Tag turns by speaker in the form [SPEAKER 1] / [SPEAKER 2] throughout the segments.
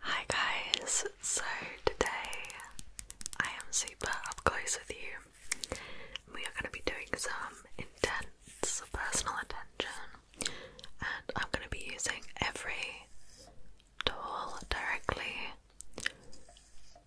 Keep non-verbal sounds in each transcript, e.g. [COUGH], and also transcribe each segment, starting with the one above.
[SPEAKER 1] Hi guys, so today I am super up close with you. We are going to be doing some intense personal attention, and I'm going to be using every tool directly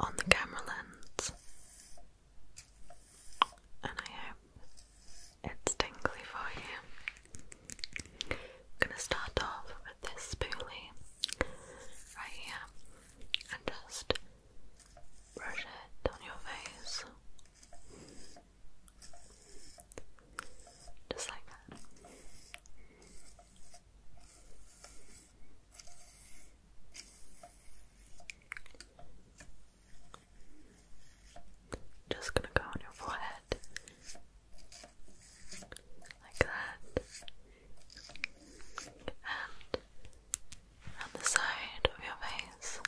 [SPEAKER 1] on the camera lens. And I hope it's tingly for you. I'm gonna start off with this spoolie right here and just brush it on your face. Just like that. Just gonna go on your forehead like that, and on the side of your face.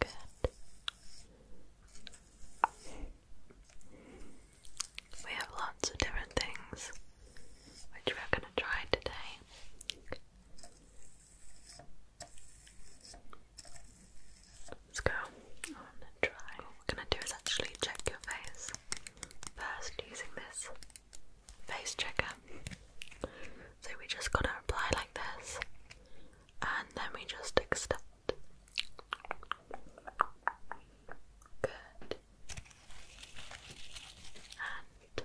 [SPEAKER 1] Good. We have lots of different things which we're going to try today. Let's go on and try. What we're gonna do is actually check your face first using this face checker. So we just gotta apply like this and then we just extend. Good. And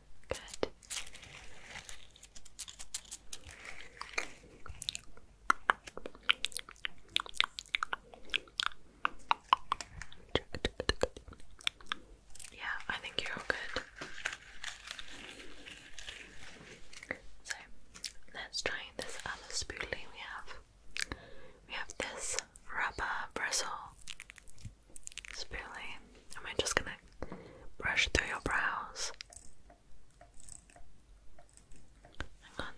[SPEAKER 1] Good. Yeah, I think you're all good. So let's try this other spoolie we have. We have this rubber bristle. Sparely, barely. Am I just gonna brush through your brows?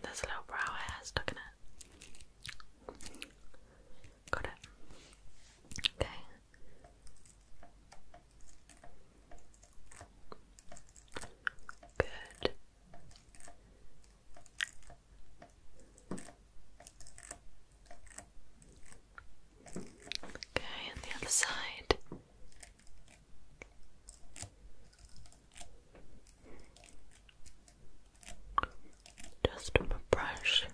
[SPEAKER 1] there's a little brow hair stuck in it. Got it. Okay. Good. Okay, and the other side. Just a brush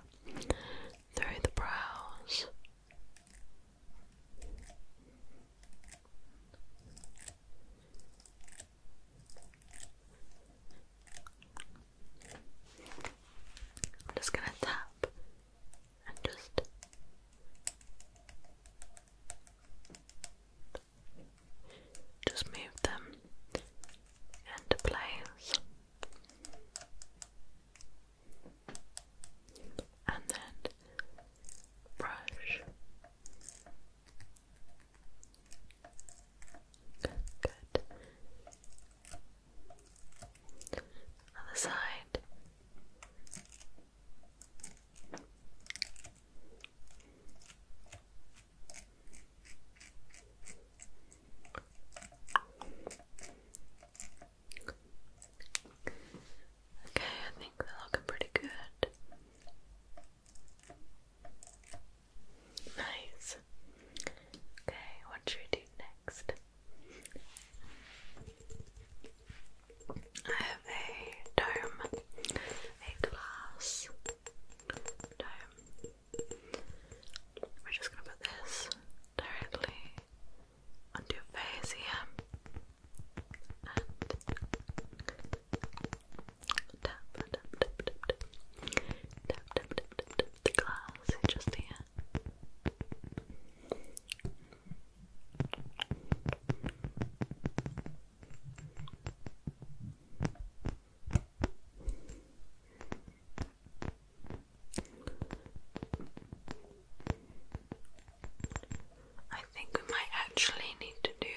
[SPEAKER 1] through the brows. I'm just going to tap and just just move them into place and then brush good other side. Okay, I think they're looking pretty good. Nice. Okay, what should we do next? I have a dome, a glass dome. We're just gonna put this directly onto your face here and tap, tap, tap, tap, tap, tap, tap, tap, tap, tap the glass just here. I think we might actually need to do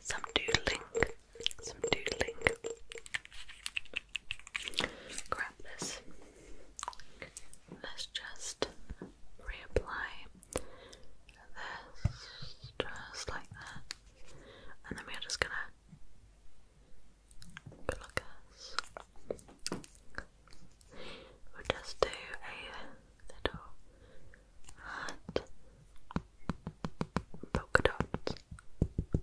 [SPEAKER 1] some doodling. Some doodling grab this. Let's just reapply this just like that, and then we're just gonna look at We'll just do a little heart polka dots.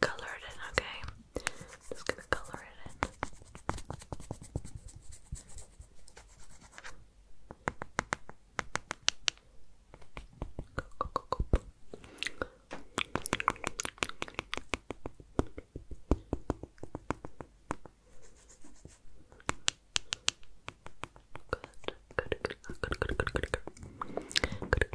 [SPEAKER 1] color it okay? I'm just gonna color it in. good, good, good, good, good, good, good, good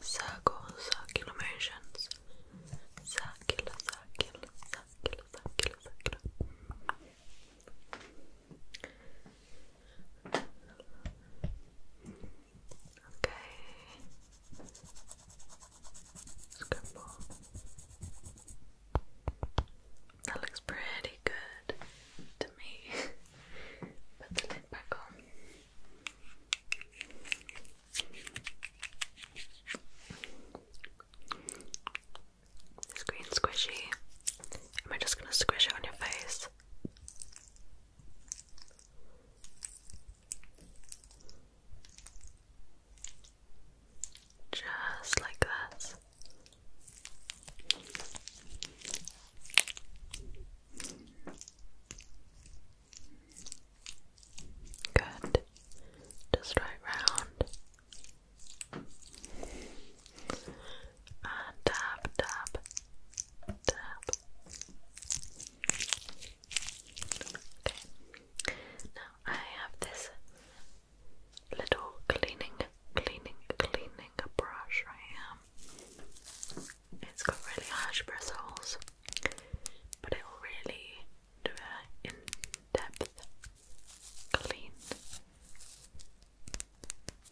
[SPEAKER 1] Circle, circular motions. Circular, circular, circular, circular, Okay. Scribble. That looks pretty good to me. [LAUGHS] Put the lid back on. It's green squishy. Am I just gonna squish it on your face? Just like that. Good. Just right round. And tap, tap, tap. Okay. Now I have this little cleaning, cleaning, cleaning brush right here. It's got really harsh bristles, but it will really do an in depth clean.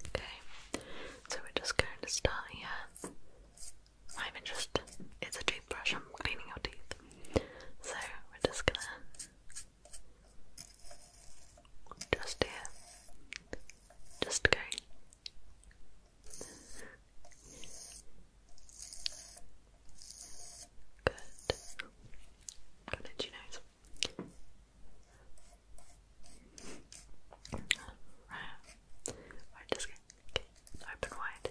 [SPEAKER 1] Okay, so we're just going to start here. I'm just, it's a toothbrush, I'm cleaning your teeth. So we're just gonna. Just here, just go. Good. Got it, you nose. Right. just go. Okay. Open wide.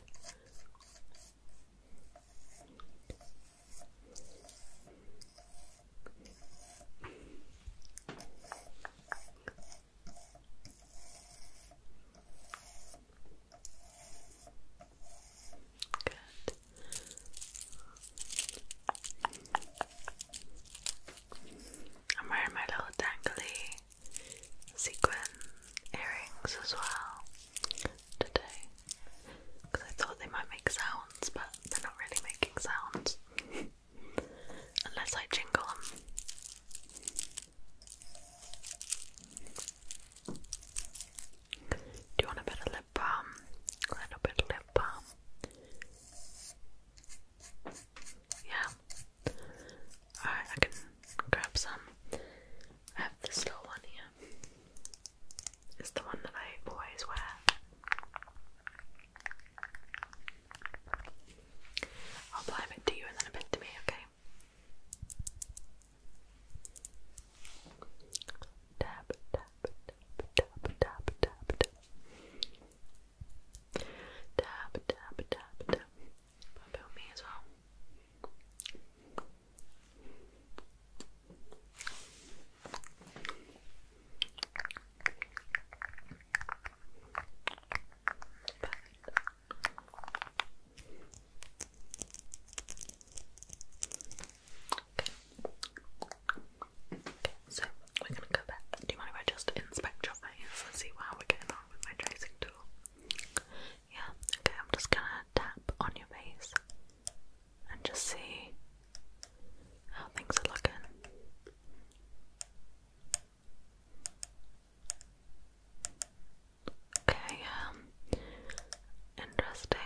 [SPEAKER 1] I'm wearing my little dangly sequin earrings as well today because I thought they might make sounds, but they're not really making sounds. [LAUGHS] unless I jingle them. Do you want a bit of lip balm? A little bit of lip balm. Yeah. Alright, I can grab some. I have this little one here. It's the one that I always wear I'll apply a bit to you and then a bit to me, okay? Tap, tap, tap, tap, tap, tap, tap. Tap, tap, tap, tap. it on me as well. Okay, so we're gonna go back. Do you mind if I just inspect your face and see how we're getting on with my tracing tool? Yeah, okay, I'm just gonna tap on your face and just see how things are looking. Okay, um, interesting.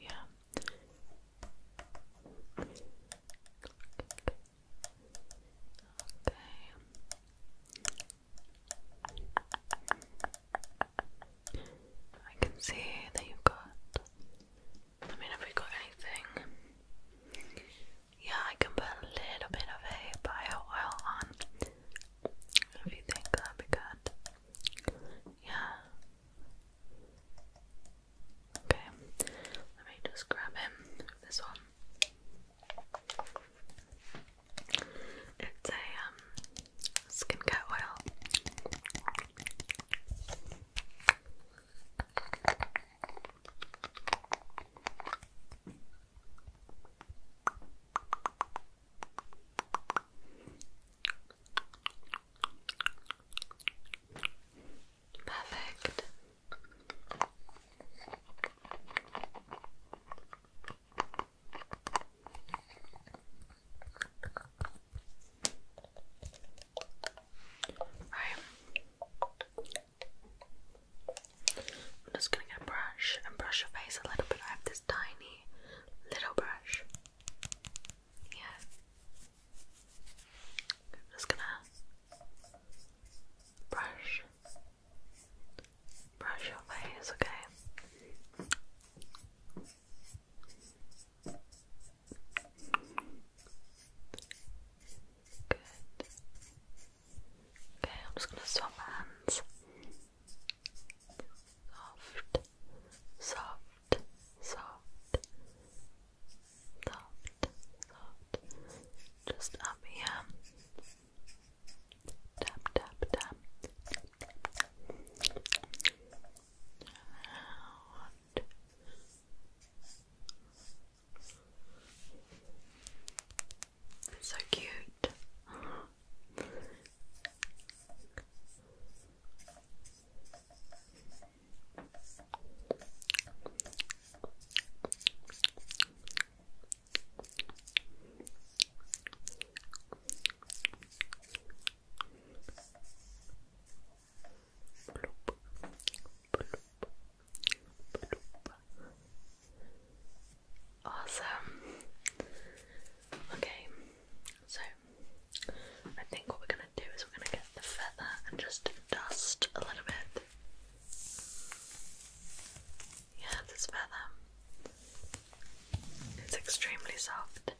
[SPEAKER 1] Yeah. Okay. I can see that you've got. I mean, have we got anything? Yeah, I can put a little bit of a bio oil on. If you think that'd be good. Yeah. Okay, let me just grab him this one. It's a um, skincare oil. Perfect. I'm just gonna get a brush and brush your face a little bit. I have this tiny little brush. Yeah. I'm just gonna brush, brush your face, okay? Good. Okay, I'm just gonna swap hands. Soft, soft, soft, soft, soft, just up here. Tap, tap, tap. So cute. Awesome. Okay, so I think what we're going do is we're going to get the feather and just dust a little bit. Yeah, this feather. It's extremely soft.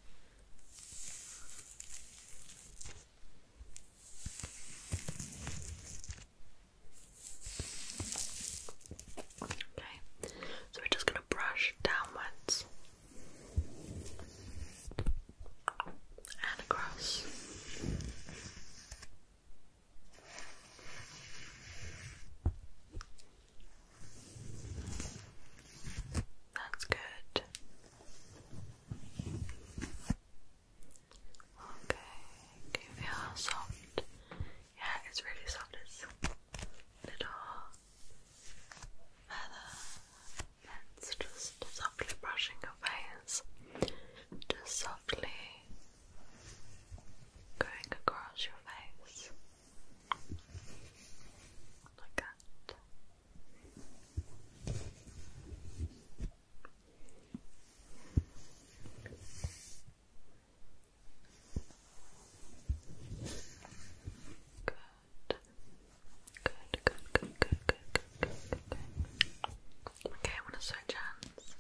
[SPEAKER 1] Okay, so we're just going to brush downwards and across. That's good. Okay, can you feel soft? Yeah, it's really soft. It's little feather let just softly brushing your face, just softly going across your face like that. Good. Good, good, good, good, good, good, good, good. Okay, I want to switch hands.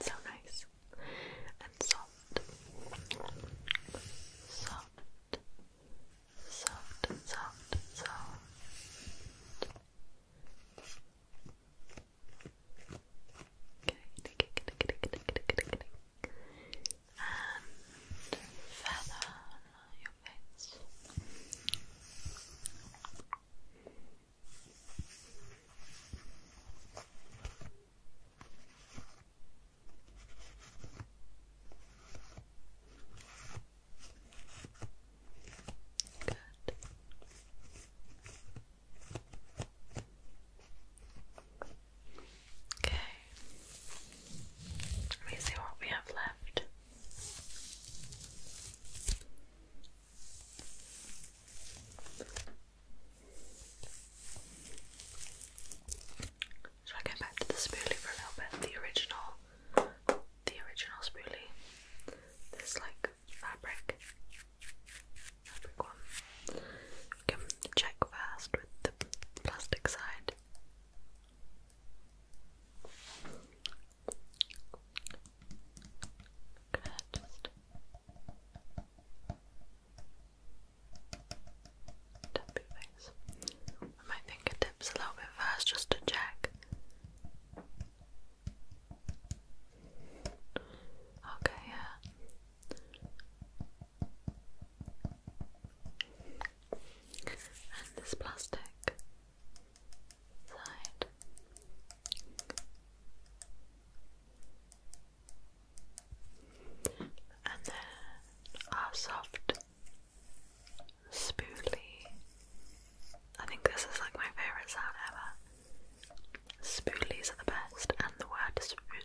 [SPEAKER 1] So nice and soft, soft, soft, soft, soft. Okay, and feather your face. Good. Okay. Let me see what we have left. Should I go back to the spoolie for a little bit? The original, the original spoolie. This like fabric. Um, check first with the plastic side. Good. my fingertips a little bit first just to check. Okay, yeah and this plastic side. And then our soft spoolie. I think this is like my favourite sound ever. Spoolies are the best, and the word spoon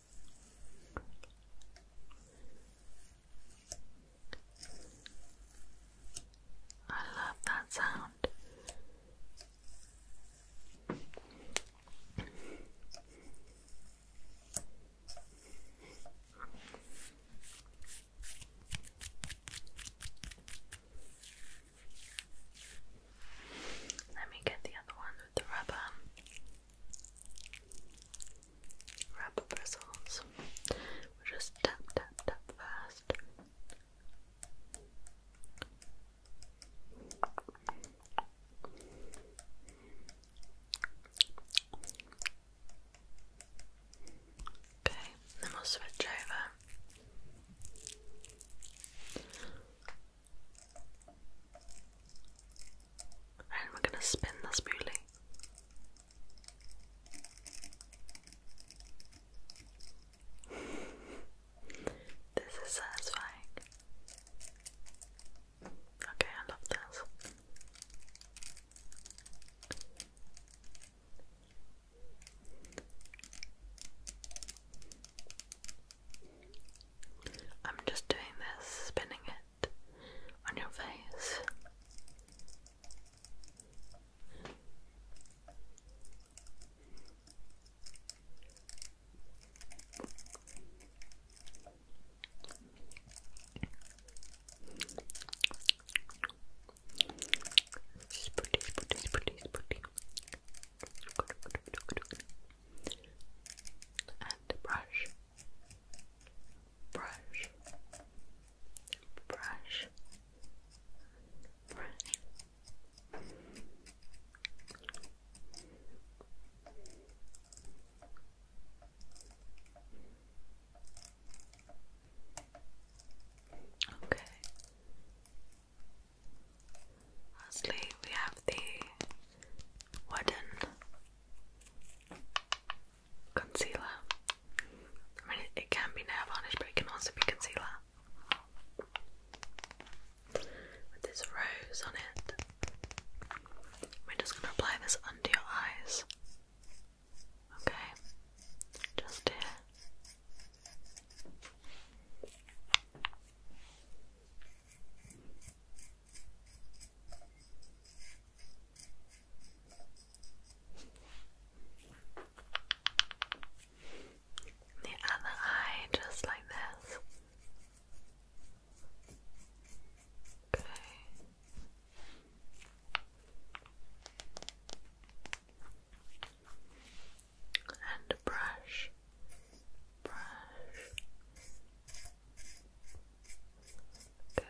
[SPEAKER 1] I love that sound. Let me get the other one the rubber rubber bristles. We'll just tap, tap, tap first. Okay, then we'll switch over. And we're going to spin the spoolie. [LAUGHS] this is satisfying. Okay, I love this. I'm just doing this, spinning it on your face. Spooty, spooty, spooty, spooty and brush, brush, brush, brush. Okay. Lastly, we have the wooden concealer. I mean, it can be nail varnish, but it can also be concealer. With this rose on it, we're just going to apply this under your eyes. Okay, just here. The other eye, just like this. Okay and brush, brush. Good.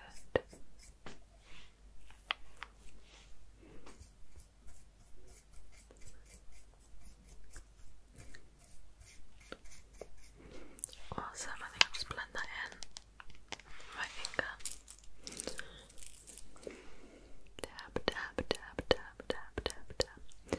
[SPEAKER 1] Awesome, I think I'll just blend that in my finger. Tap, tap, tap, tap, tap, tap, tap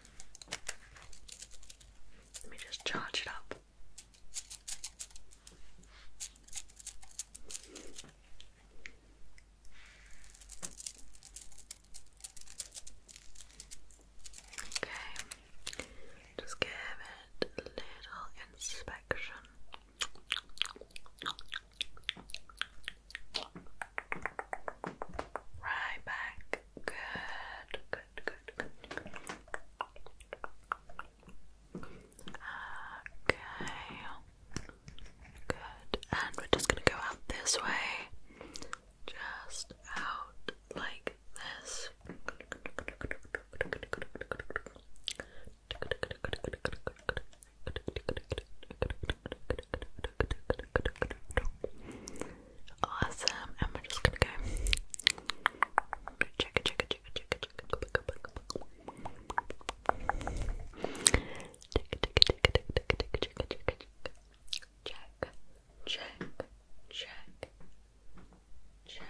[SPEAKER 1] Let me just charge it up. Okay, just give it a little inspection. Right back. Good, good, good, good. Okay. Good. And we're just gonna go out this way. Just out like this. Awesome. And we're just gonna go. Check it, check it, check it, check it, check it, check it. Check, check, check, check.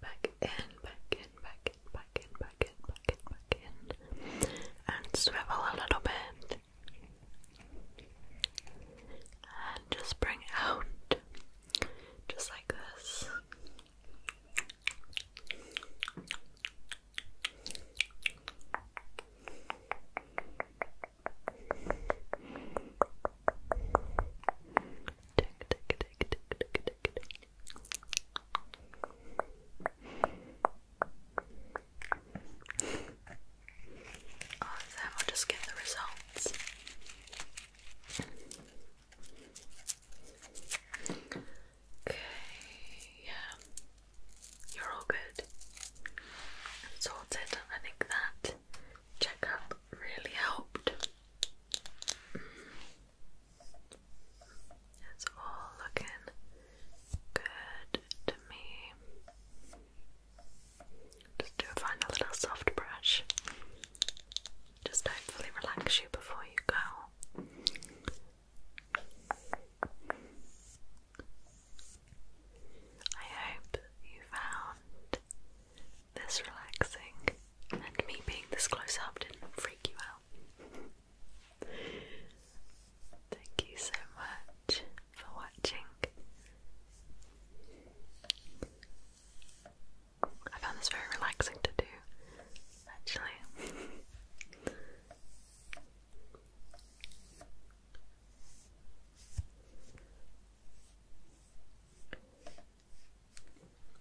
[SPEAKER 1] Back in, back in, back in, back in, back in, back in, back and swivel a little bit. And just bring out, just like this. Oh, then I'll just get the results. Okay, yeah, you're all good. I'm I think that checkup really helped. It's all looking good to me. Just do find a little soft brush. Just hopefully relax you before you go. I hope you found this relaxing and me being this close up didn't freak you out. Thank you so much for watching. I found this very relaxing to do, actually. [LAUGHS]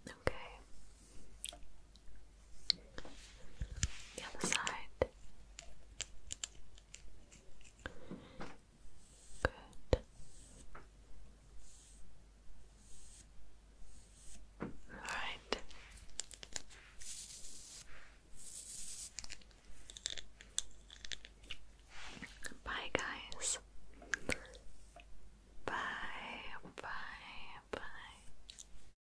[SPEAKER 1] Okay. The other side. Good. All right. Bye, guys. Bye, bye, bye.